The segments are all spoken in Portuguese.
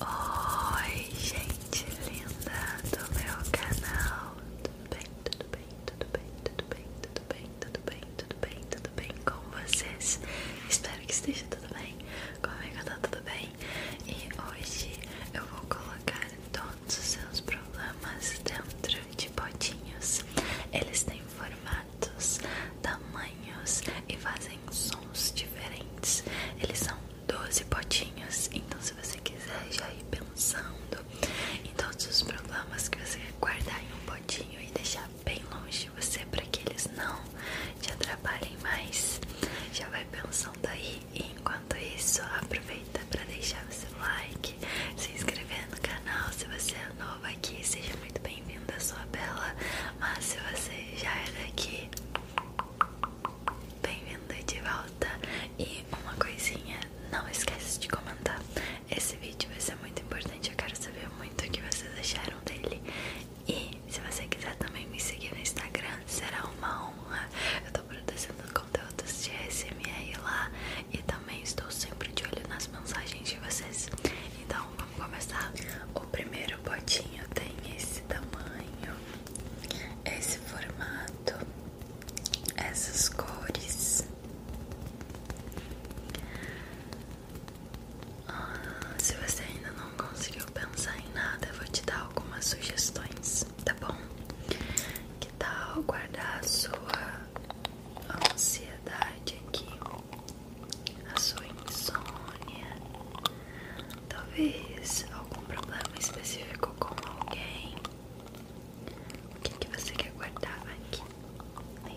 Oi, gente linda do meu canal. Tudo bem, tudo bem, tudo bem, tudo bem, tudo bem, tudo bem, tudo bem, tudo bem com vocês? Espero que esteja tudo bem. Comigo tá tudo bem. E hoje eu vou colocar todos os seus problemas dentro de potinhos. Eles têm formatos, tamanhos e fazem sons diferentes. Eles são 12 potinhos. Então, se você quiser já ir pensando em todos os problemas que você quer guardar em um potinho e deixar bem longe de você para que eles não te atrapalhem mais, já vai pensando aí. E enquanto isso, aproveita para deixar o seu like, se inscrever no canal. Se você é novo aqui, seja muito bem-vindo, sua bela. Mas se você já é daqui, Bem-vindo de volta e uma coisinha, não esqueça de comentar. Esse vídeo vai ser muito importante, eu quero saber muito o que vocês acharam dele. E se você quiser também me seguir no Instagram, será uma honra. Eu tô produzindo conteúdos de SMR lá e também estou sempre de olho nas mensagens de vocês. Então vamos começar. O primeiro primeiro potinho tem esse tamanho, esse formato, essas cores. Ah, se você ainda não conseguiu pensar em nada, vou te dar algumas sugestões, tá bom? Que tal guardar a sua ansiedade aqui, a sua insônia? Talvez algum problema específico com alguém. O que, que você quer guardar aqui?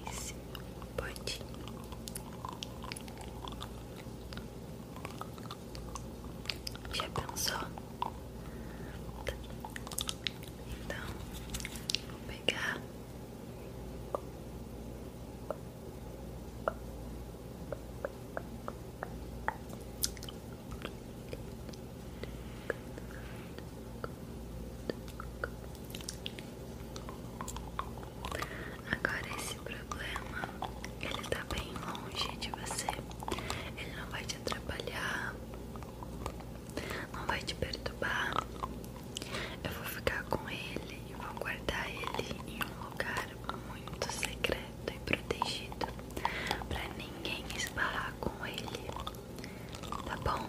Nesse ponto Já pensou? Então, vou pegar Agora esse problema, ele tá bem longe de você. Ele não vai te atrapalhar. Não vai te perturbar. Eu vou ficar com ele e vou guardar ele em um lugar muito secreto e protegido para ninguém esbarrar com ele. Tá bom?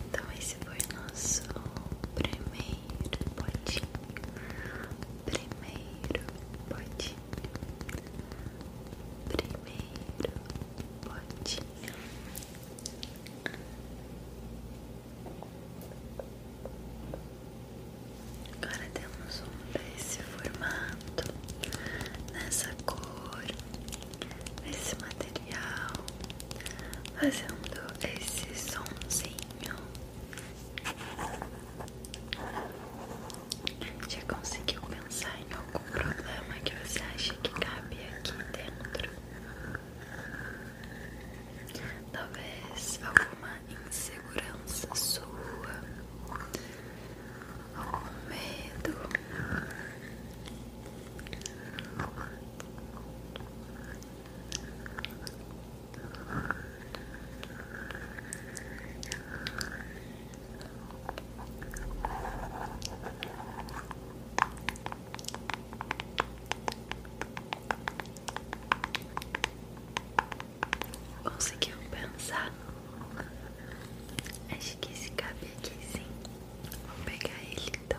Então esse foi nosso primeiro potinho. Primeiro potinho. Primeiro potinho. Agora temos um desse formato, nessa cor, nesse material, fazendo esse somzinho. Já conseguiu pensar em algum problema que você acha que cabe aqui dentro? Talvez alguma insegurança sua, algum medo. Conseguiu pensar? Acho que esse cabe aqui sim. Vou pegar ele então.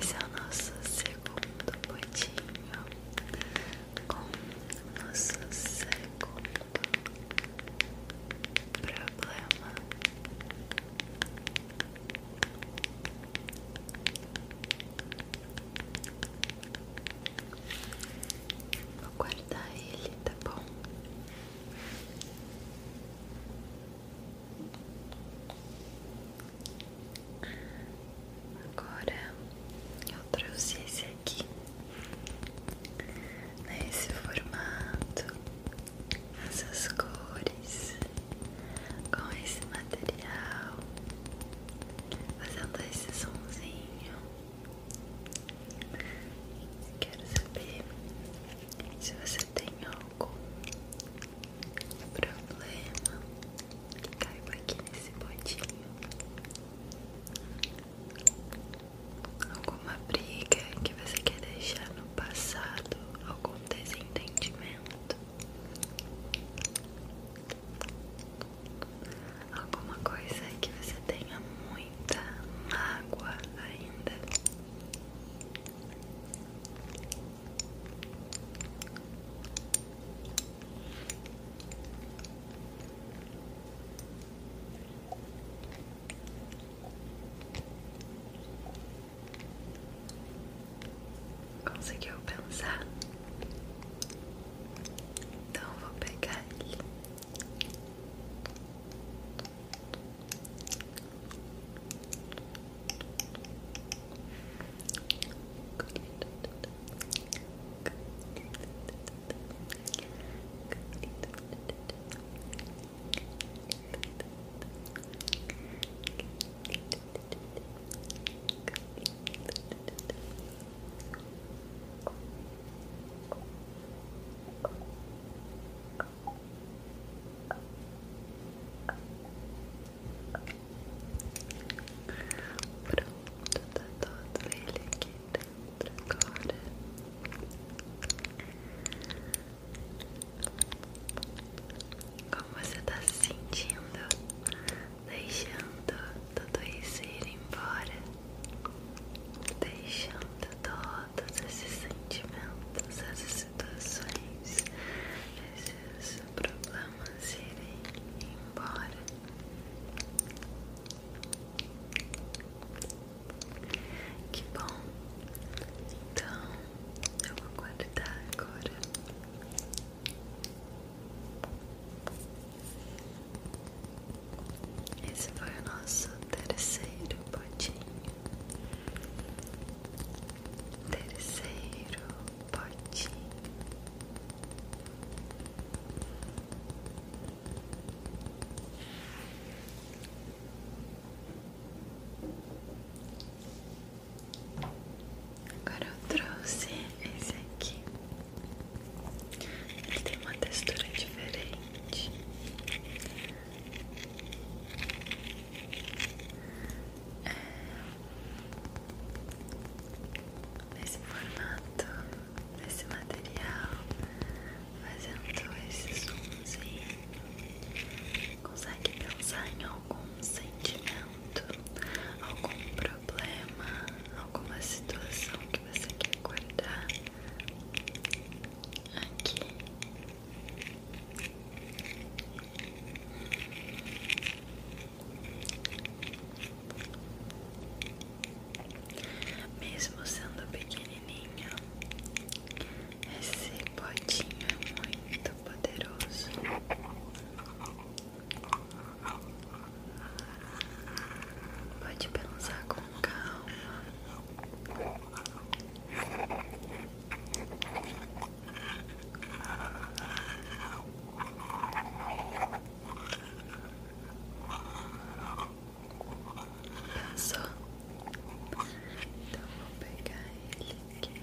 Esse é o nosso segundo potinho com nosso segundo problema. Vou guardar ele, tá bom? Agora eu trouxe esse aqui nesse né, formato, essas cores, com esse material fazendo esse somzinho. Quero saber se você tem algum problema que caiba aqui nesse potinho. Alguma briga que você quer deixar no passado, algum desentendimento alguma coisa que você tenha muita mágoa ainda. Conseguiu pensar? Então vou pegar ele. Pronto, tá todo ele aqui dentro agora. Como você tá sentindo? deixando tudo isso ir embora, deixando todos esses sentimentos, essas situações, esses problemas irem embora. Que bom! Então eu vou guardar agora esse foi o nosso terceiro potinho. Terceiro potinho. Agora eu trouxe esse aqui. Ele tem uma textura diferente. É, nesse formato, nesse material, fazendo esse zoomzinho, consegue pensar em algum sentimento, algum problema, alguma situação que você quer guardar aqui. Mesmo sendo pequenininho, esse potinho é muito poderoso. Pode pensar com calma. Pensou? Então vou pegar ele aqui.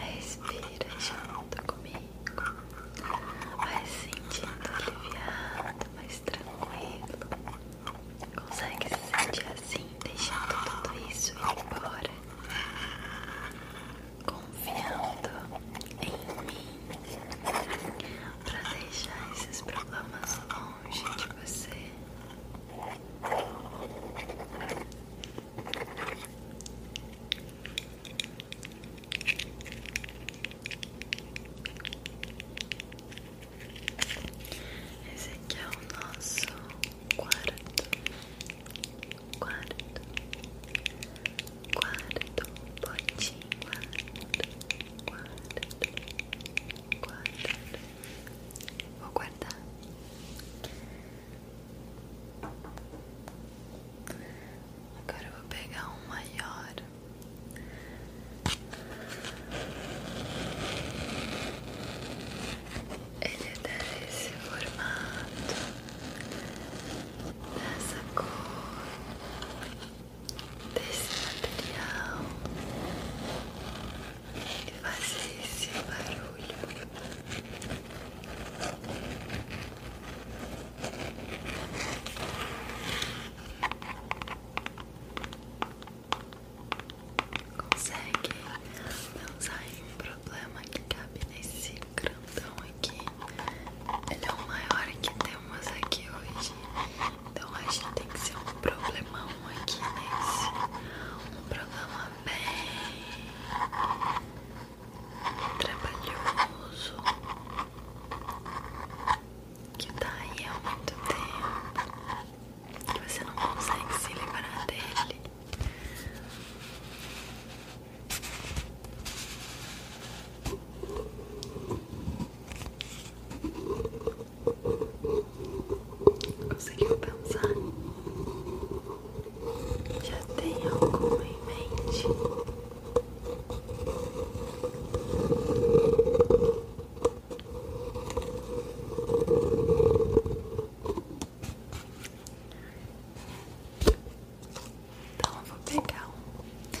Respira junto comigo. Vai se sentindo aliviado, mais tranquilo. Consegue se sentir assim, deixando tudo isso ir embora. Confiando em mim para deixar esses problemas longe de você. Esse aqui é o nosso quarto, quarto, quarto potinho, quarto, quarto, quarto. Vou guardar Agora eu vou pegar um maior. Ele é desse formato, dessa cor, desse material, e faz esse barulho. Consegue pensar em um problema que cabe nesse grandão aqui? Ele é o maior que temos aqui hoje. Então a gente tem que ser um problemão aqui nesse. Um problema bem trabalhoso que tá aí há muito tempo que você não consegue se livrar dele. Conseguiu pensar? Já tem alguma em mente? Então vou pegar um problema.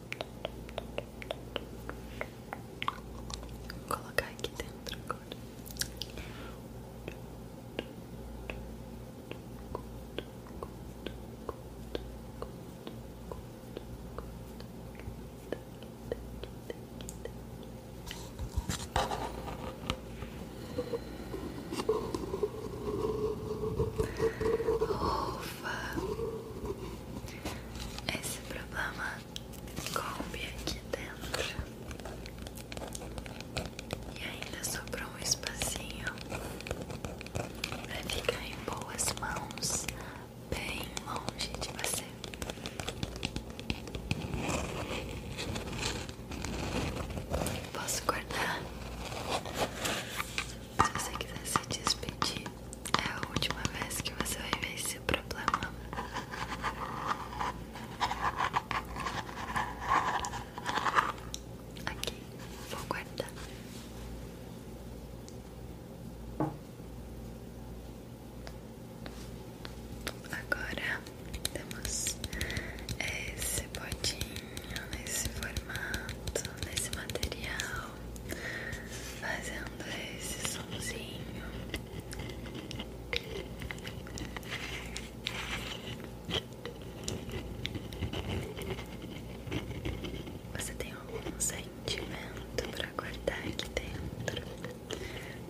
colocar aqui dentro agora. Esse problema com o coube aqui dentro e ainda sobrou um espacinho para ficar em boas mãos, bem longe de você. Posso guardar se você quiser se despedir, é a última vez que você vai ver esse problema. Aqui, vou guardar. Agora temos esse potinho nesse formato, nesse material, fazendo esse somzinho. Você tem algum sentimento para guardar aqui dentro?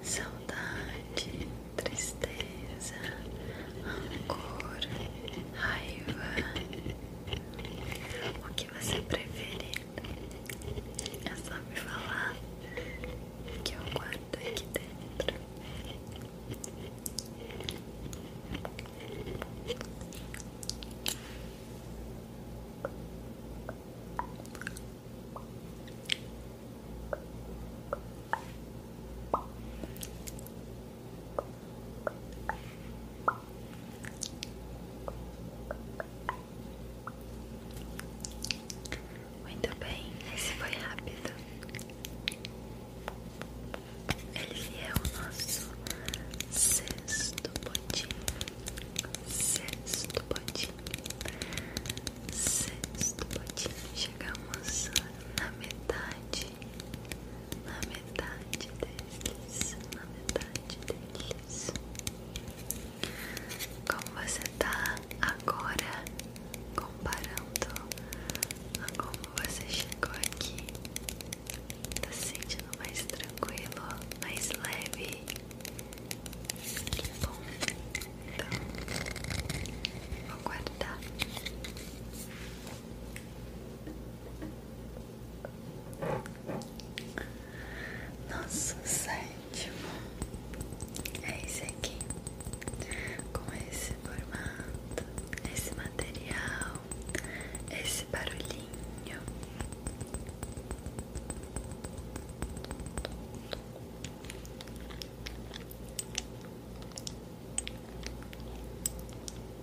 Saudade, tristeza, rancor, raiva, o que você prefere? É só me falar que eu é guardo aqui dentro. Muito bem, esse foi rápido. ele é o nosso sexto potinho. Sexto potinho. Sexto potinho. Chegamos na metade na metade deles, na metade deles. Como você tá agora comparando a como você chegou aqui? Tá se sentindo mais tranquilo, mais leve? Que bom. Então, vou guardar. Nosso sétimo é esse aqui, com esse formato, esse material, esse barulhinho.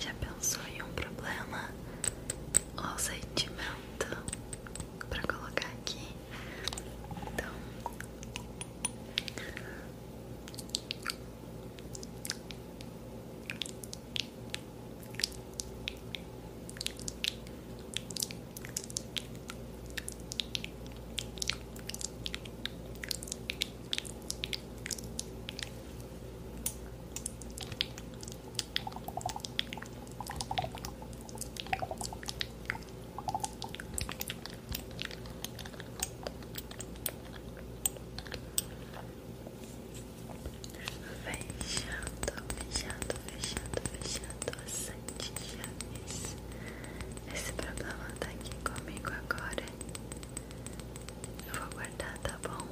Já pensou em um problema ou sentimento para colocar aqui? Então Fechando, fechando, fechando, fechando. Adoçante Chaves. Esse problema tá aqui comigo agora. Eu vou guardar, tá bom?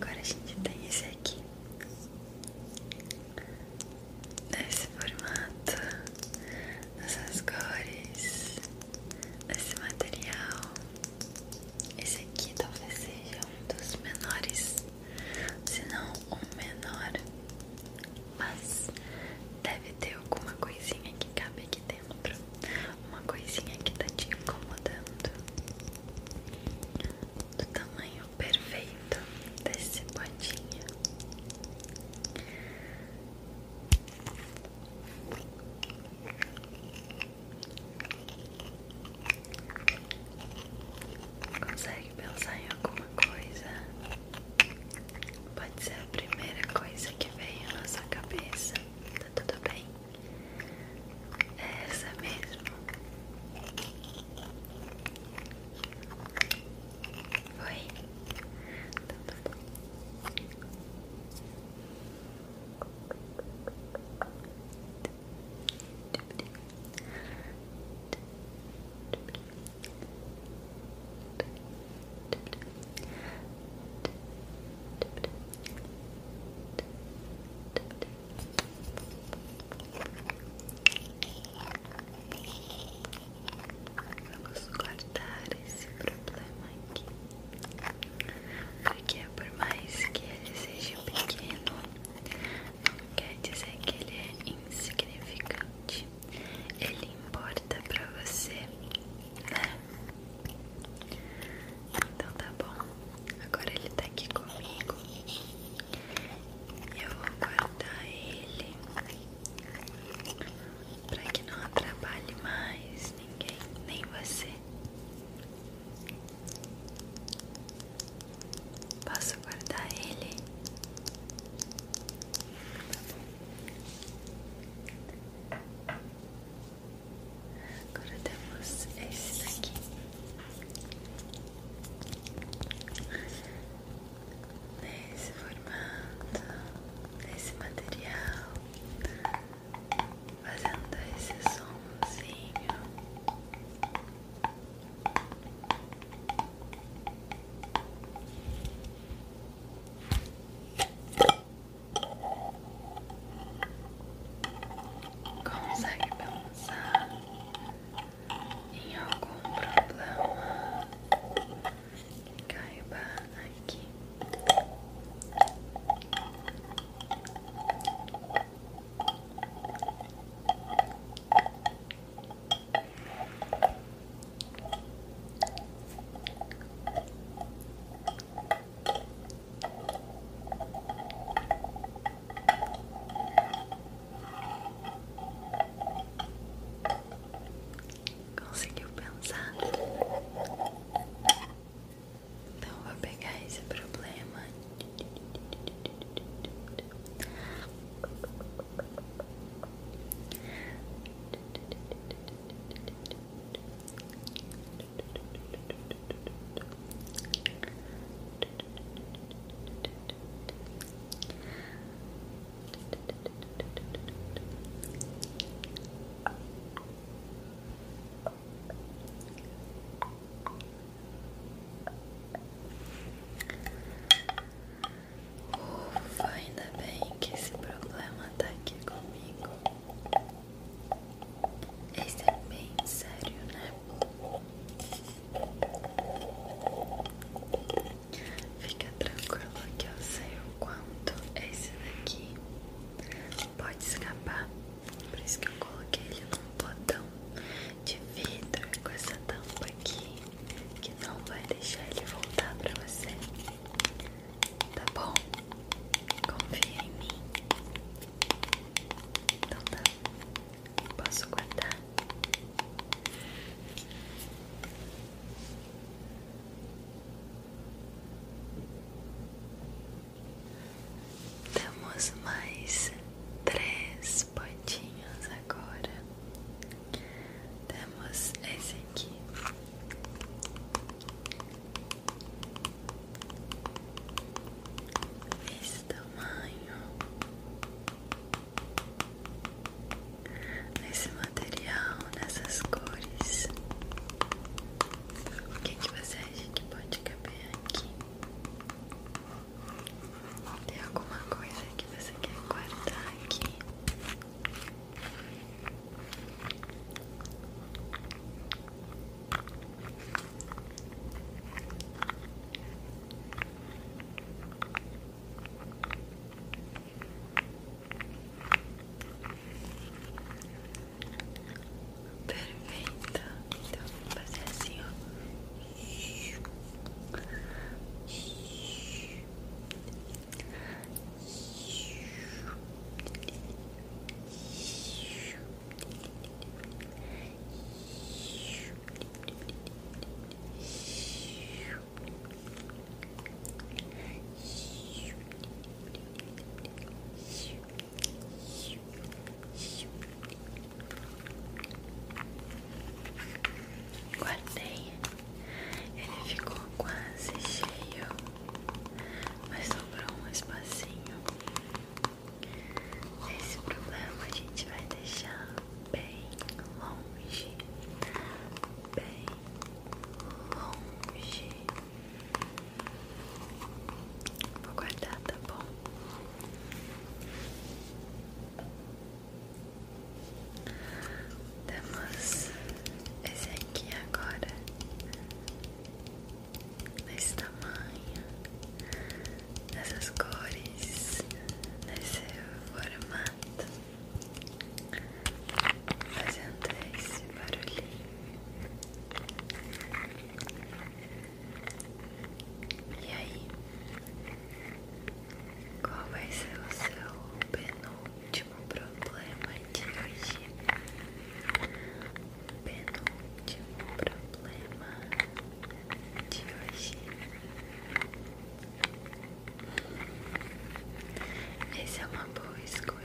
Agora a gente tem esse aqui. Nesse formato, nessas cores desse material. Esse aqui talvez seja um dos menores, se não o menor, mas deve ter alguma coisinha que cabe aqui dentro, uma coisinha que tá te incomodando. Do tamanho perfeito desse potinho. Consegue pensar em alguma coisa? Pode ser a primeira coisa que veio na sua cabeça. Tá tudo bem? É essa mesmo. Foi? Tá tudo bom. Vamos cortar esse problema aqui. Porque por mais que ele seja pequeno, não quer dizer que ele é insignificante. Ele importa pra você, né? Então tá bom. Agora ele tá aqui comigo. Eu vou guardar ele pra que não atrapalhe mais ninguém, nem você. Posso guardar ele? Agora temos esse daqui. Nesse formato, nesse material fazendo esse somzinho. Consegue pensar em algum problema que caiba aqui? Conseguiu pensar? Então eu vou pegar esse problema. Vou Ufa, ainda bem que esse problema tá aqui comigo. Esse é bem sério, né? Fica tranquilo que eu sei o quanto esse daqui pode escapar por isso que eu coloquei ele num potão de vidro com essa tampa aqui, que não vai deixar ele voltar pra você. Tá bom? Confia em mim. Então tá. Posso guardar? Temos mais três pontinhos agora. Temos esse aqui. Esse tamanho. Esse material, nessas cores. O que, que você acha que pode caber aqui? Tem alguma coisa que você quer guardar aqui? perfeita Então vou fazer assim, ó. Guardei, ele ficou quase cheio, mas sobrou um espacinho. Esse problema a gente vai deixar bem longe, bem longe. Vou guardar, tá bom? Temos esse aqui agora Nesse tamanho Nessas cores Nesse formato Fazendo esse barulhinho e aí, qual vai ser o seu penúltimo problema de hoje? Penúltimo problema de hoje. Essa é uma boa escolha.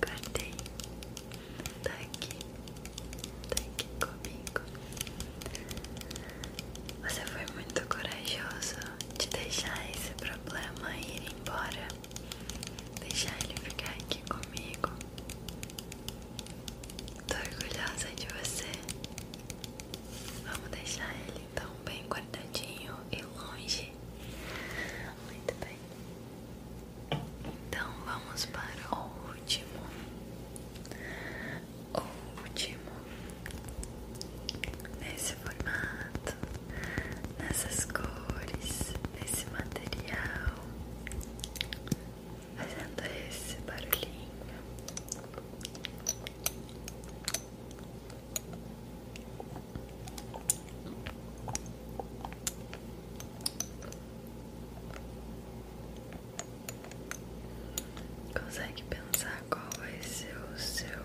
Guardei, tá aqui, tá aqui comigo. Você foi muito corajoso de deixar esse problema ir embora, deixe ele ficar aqui comigo. Tô orgulhosa de você. Vamos deixar ele então bem guardadinho e longe. Muito bem. Então vamos para o último. O último. Nesse nesse formato, nessas cores, nesse material, fazendo esse barulhinho. Consegue pensar qual vai ser o seu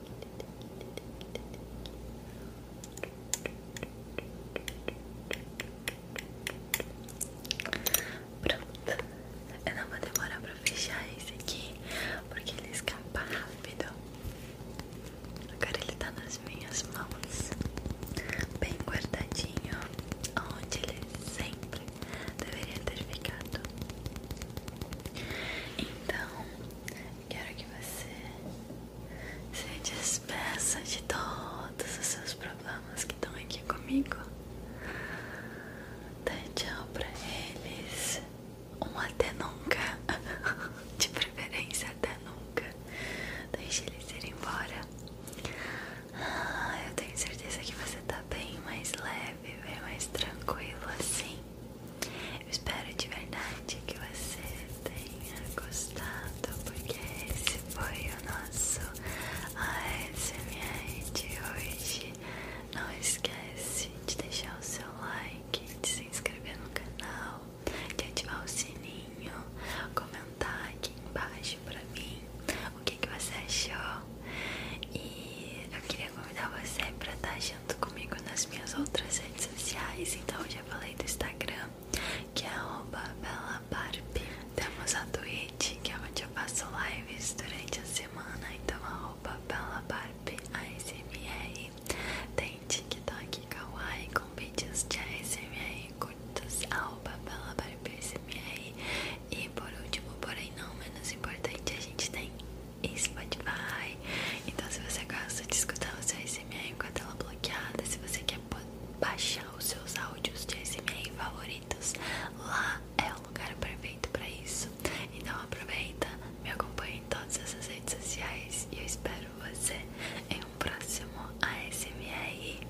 Pronto, eu não vou demorar pra fechar esse aqui porque ele escapa rápido. Agora ele tá nas minhas mãos, bem guardadinho, onde ele sempre deveria ter ficado. Então, Quero que você se despeça de todos os seus problemas que estão aqui comigo. Dá tchau pra eles. Um até nunca. De preferência, até nunca. Deixe eles ir embora. Ah, eu tenho certeza que você tá bem mais leve, bem mais tranquilo assim. Eu espero de verdade que você tenha gostado, porque esse foi o nosso ASMR de hoje. Não esquece de deixar o seu like, de se inscrever no canal, de ativar o sininho, comentar aqui embaixo pra mim o que, você achou. E eu queria convidar você pra estar tá junto comigo nas minhas outras redes sociais. Então, já falei do Instagram, que é BellaBarb. Temos a Twitch, que é onde eu faço lives durante a semana. Então, BellaBarb ASMR. Tem TikTok Kawaii com vídeos de ASMR curtos. BellaBarb ASMR. E por último, porém não menos importante, a gente tem e Spotify. Então, se você gosta de escutar o seu ASMR com a tela bloqueada, se você quer baixar os seus áudios de ASMR favoritos, lá é o lugar perfeito para isso. Então, aproveita, me acompanhe em todas as redes sociais e eu espero você em um próximo ASMR.